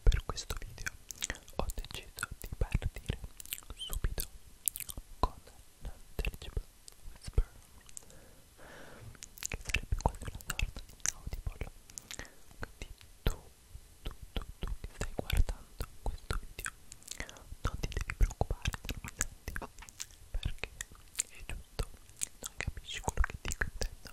Per questo video ho deciso di partire subito con l'intelligible whisper che sarebbe quasi una sorta di audible quindi tu, tu, tu, tu che stai guardando questo video non ti devi preoccupare se non senti perché è giusto non capisci quello che dico intendo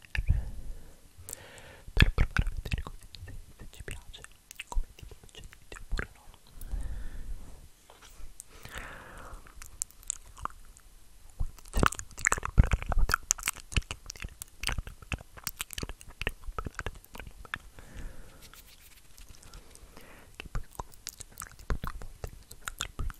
per provare a vedere così se, se ci piace come tipo di video oppure no cerchiamo di calibrare la batteria cerchiamo di che poi tipo due volte che sto facendo il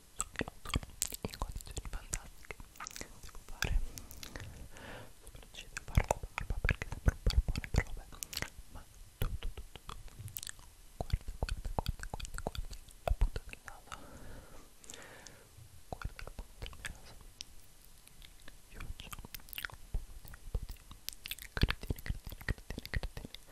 in condizioni fantastiche devo fare sopracciglia fare la barba perché sembra un barbone però vabbè ma tutto tutto tutto guarda guarda guarda guarda guarda la punta del naso guarda la punta del naso io ho un po' di cretine cretine cretine cretine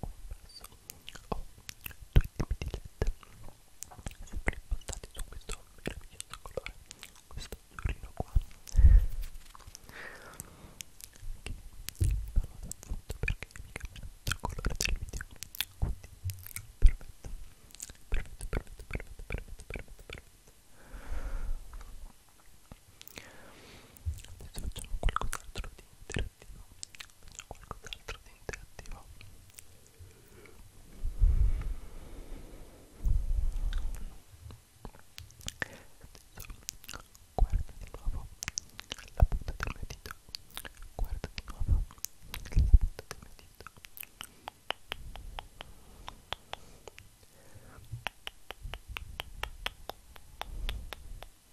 un passo o due tipi di led sempre impostati su questo meraviglioso colore questo azzurrino qua che vi parlo da appunto perché mi cambia il colore del video quindi perfetto perfetto perfetto perfetto perfetto perfetto perfetto adesso facciamo qualcos'altro di interattivo facciamo qualcos'altro di interattivo adesso guarda di nuovo la punta del mio dito guarda di nuovo la punta del mio dito Guarda di nuovo la punta del mio dito.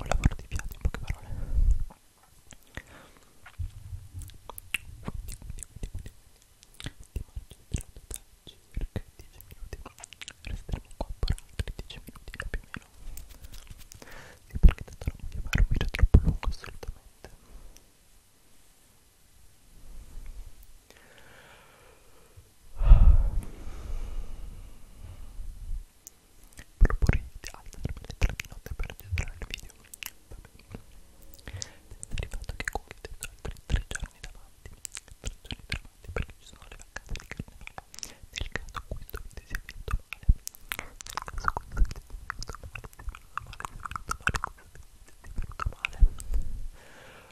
un lavoro di fiato in poche parole ti mangio gelato da circa 10 minuti resteremo qua per altri 10 minuti più o meno sì perché tanto non voglio fare un video troppo lungo assolutamente Proporre di alzarmi alle 3 di notte per registrare il video. Vabbè. Senza il fatto che Google ti ho altri 3 giorni davanti. 3 giorni davanti perché ci sono le vacanze di carnevale. Nel caso questo video sia finito male. Nel caso questo video sia finito male. Nel caso questo video sia finito male. Sia finito male. Sia finito male.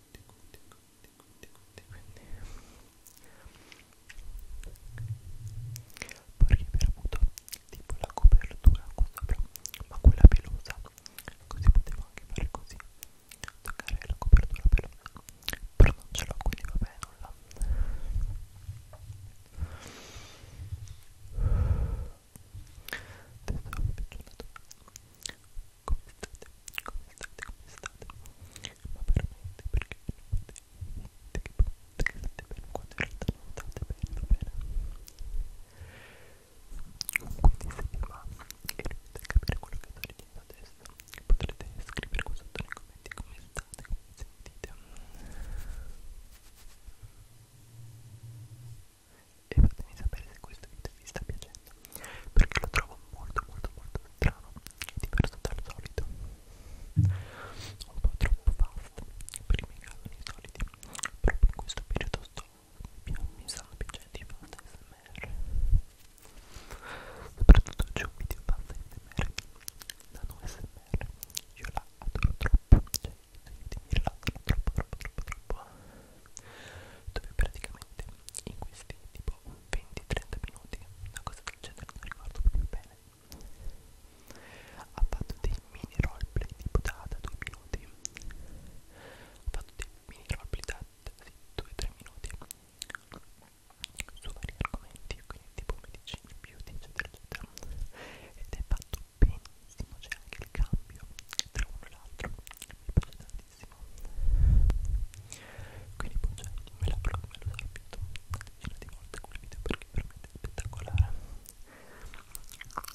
cuti, cuti, cuti, cuti, cuti, quindi vorrei aver avuto tipo la copertura qua sopra, ma quella pelosa, così potevo anche fare così, toccare la copertura pelosa, però non ce l'ho, quindi vabbè, nulla. Adesso vi faccio una domanda come state? Come state? Come state? Ma veramente perché non potete che state bene quando in realtà non state bene, va bene? Quindi se vi va e riuscite a capire quello che sto dicendo adesso potrete scrivere qua sotto nei commenti come state, come sentite e fatemi sapere se questo video vi sta piacendo perché lo trovo molto molto molto strano diverso dal solito un po' troppo fast per i miei canoni soliti proprio in questo periodo sto più mi stanno piacendo i fan smr soprattutto c'è un video fan smr da non smr io la adoro troppo cioè i miei video mi rilassano troppo troppo troppo troppo dove praticamente in questi tipo 20-30 minuti, una cosa del genere non ricordo proprio bene, ha fatto dei mini roleplay tipo da 2 minuti, ha fatto dei mini roleplay da 2-3 minuti su vari argomenti, quindi tipo medicina, beauty, eccetera, eccetera, ed è fatto benissimo, c'è anche il cambio tra uno e l'altro, mi piace tantissimo bellissimo quindi poi cioè, me l'apro me lo sorpito una decina di volte quel video perché per me è spettacolare veramente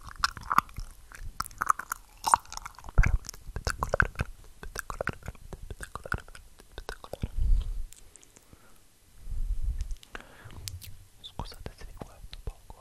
spettacolare veramente spettacolare veramente spettacolare veramente spettacolare scusate se vi guardo poco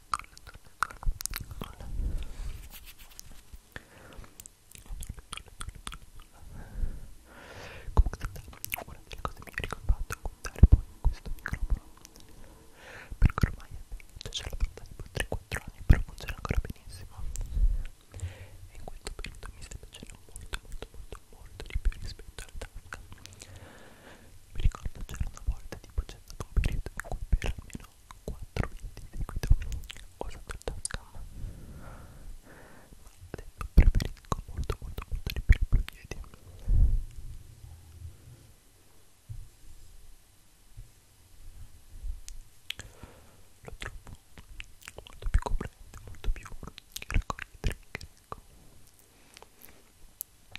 una delle cose migliori che ho fatto è contare poi in questo microfono perché ormai è vecchio, ce l'ho portato tipo 3-4 anni però funziona ancora benissimo e in questo periodo mi sta piacendo molto molto molto molto di più rispetto alla tasca mi ricordo c'era una volta tipo c'è stato un periodo in cui per almeno 4 minuti di seguito ho usato il tascam ma adesso preferisco molto molto molto di più il blu yeti lo trovo molto più coprente molto più che raccoglie trigger ecco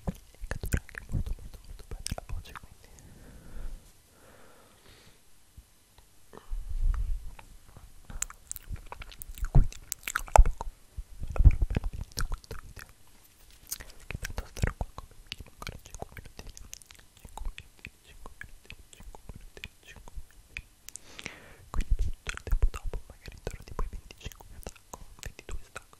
e cattura anche molto molto molto bene la voce quindi quindi avrò appena finito questo video che tanto starò qua come minimo ancora 5 minuti 5 minuti 5 minuti 5 minuti 5 minuti quindi tutto il tempo dopo magari intorno tipo ai 25 mi attacco 22 stacco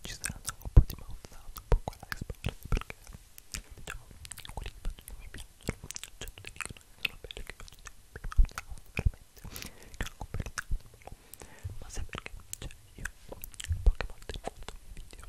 ci saranno un po' di mouthsound un po' qua e sparsi perché diciamo quelli che faccio mi piacciono cioè tutti dicono che sono belli che faccio sempre mouthsound veramente che non per il ma sai perché? cioè io poche volte in molto video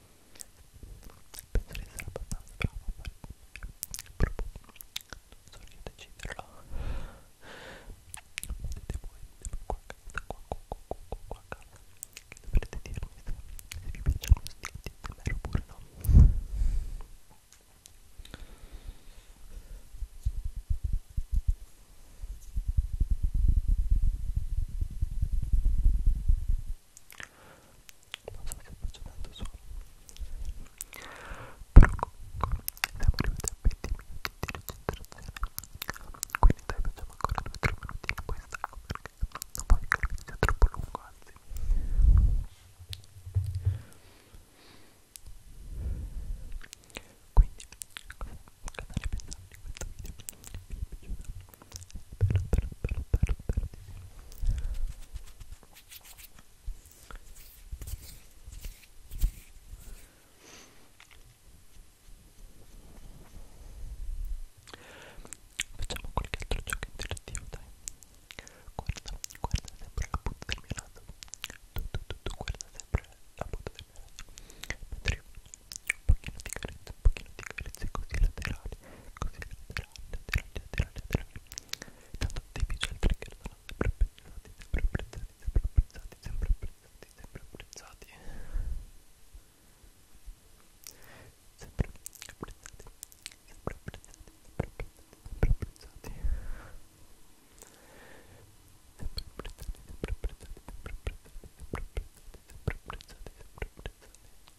penso di essere abbastanza bravo a fare proprio non so io deciderlo vedete voi qua a casa qua qua qua qua qua a casa che dovrete dirmi se, se vi piacciono questi ASMR oppure no Oggi non so se faccio tanto solo però comunque siamo arrivati a 20 minuti di registrazione quindi dai facciamo ancora 2-3 minuti in questa perché non voglio che il video sia troppo lungo anzi quindi cosa, cosa ne pensate di questo video? vi è piaciuto? bello, bello, bello Facciamo qualche altro gioco interattivo, dai. Guarda, guarda sempre la punta del mio lato. Tu, tu, tu, tu guarda sempre la punta del mio lato. Mentre io un pochino di carezza, un pochino di carezza così laterale così atterrante, atterrante, atterrante, atterrante tanto dei visual trigger sono sempre apprezzati, sempre apprezzati, sempre apprezzati, sempre apprezzati, sempre apprezzati sempre apprezzati, sempre apprezzati, sempre apprezzati, sempre apprezzati sempre apprezzati, sempre apprezzati, sempre apprezzati, sempre apprezzati, sempre apprezzati, sempre apprezzati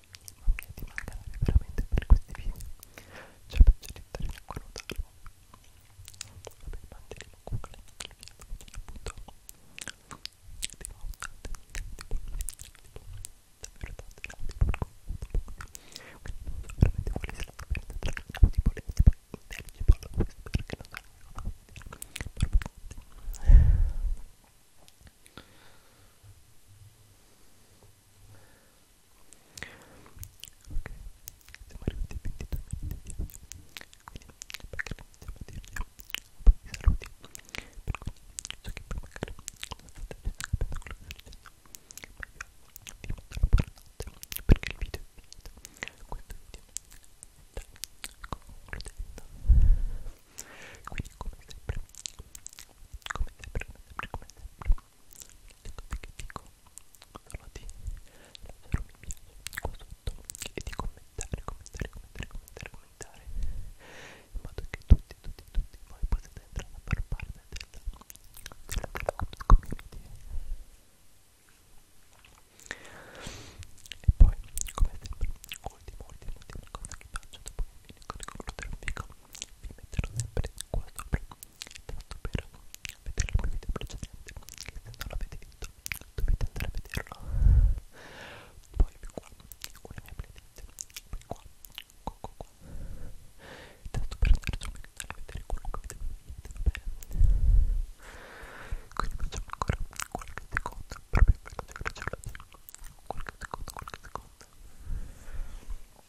non mi è di mancare veramente per questi video c'è cioè, la pagelletta di acqua notarlo vabbè il mantelino comunque le mie appunto di nuovo tante davvero tante tante quindi non so veramente quali se la trovate tra le audio volete poi intelligible questo perché non so non so Ok, siamo arrivati a 22 minuti di video. Quindi, magari andiamo a dirgli un po' di saluti. Per cui, so che poi magari non state capendo quello che sto dicendo. Ma io vi mando la buonanotte perché il video è finito. Questo video è concludendo. Quindi, come sempre, come sempre, come sempre, come sempre. Ecco dico che dico solo di lasciare un mi piace qua sotto e di commentare, commentare, commentare, commentare, commentare in modo che tutti, tutti, tutti voi possiate entrare a far parte della, della, della community e poi come sempre ultima ultima ultima cosa che faccio dopo che unico di colore del fico vi metterò sempre qua sopra tanto per vedere il mio video precedente che se non l'avete visto dovete andare a vederlo poi più qua con la mia playlist poi qua qua qua qua tanto per andare sul mio canale a vedere quello che vedete va bene quindi facciamo ancora qualche secondo proprio veloce veloce veloce qualche secondo qualche secondo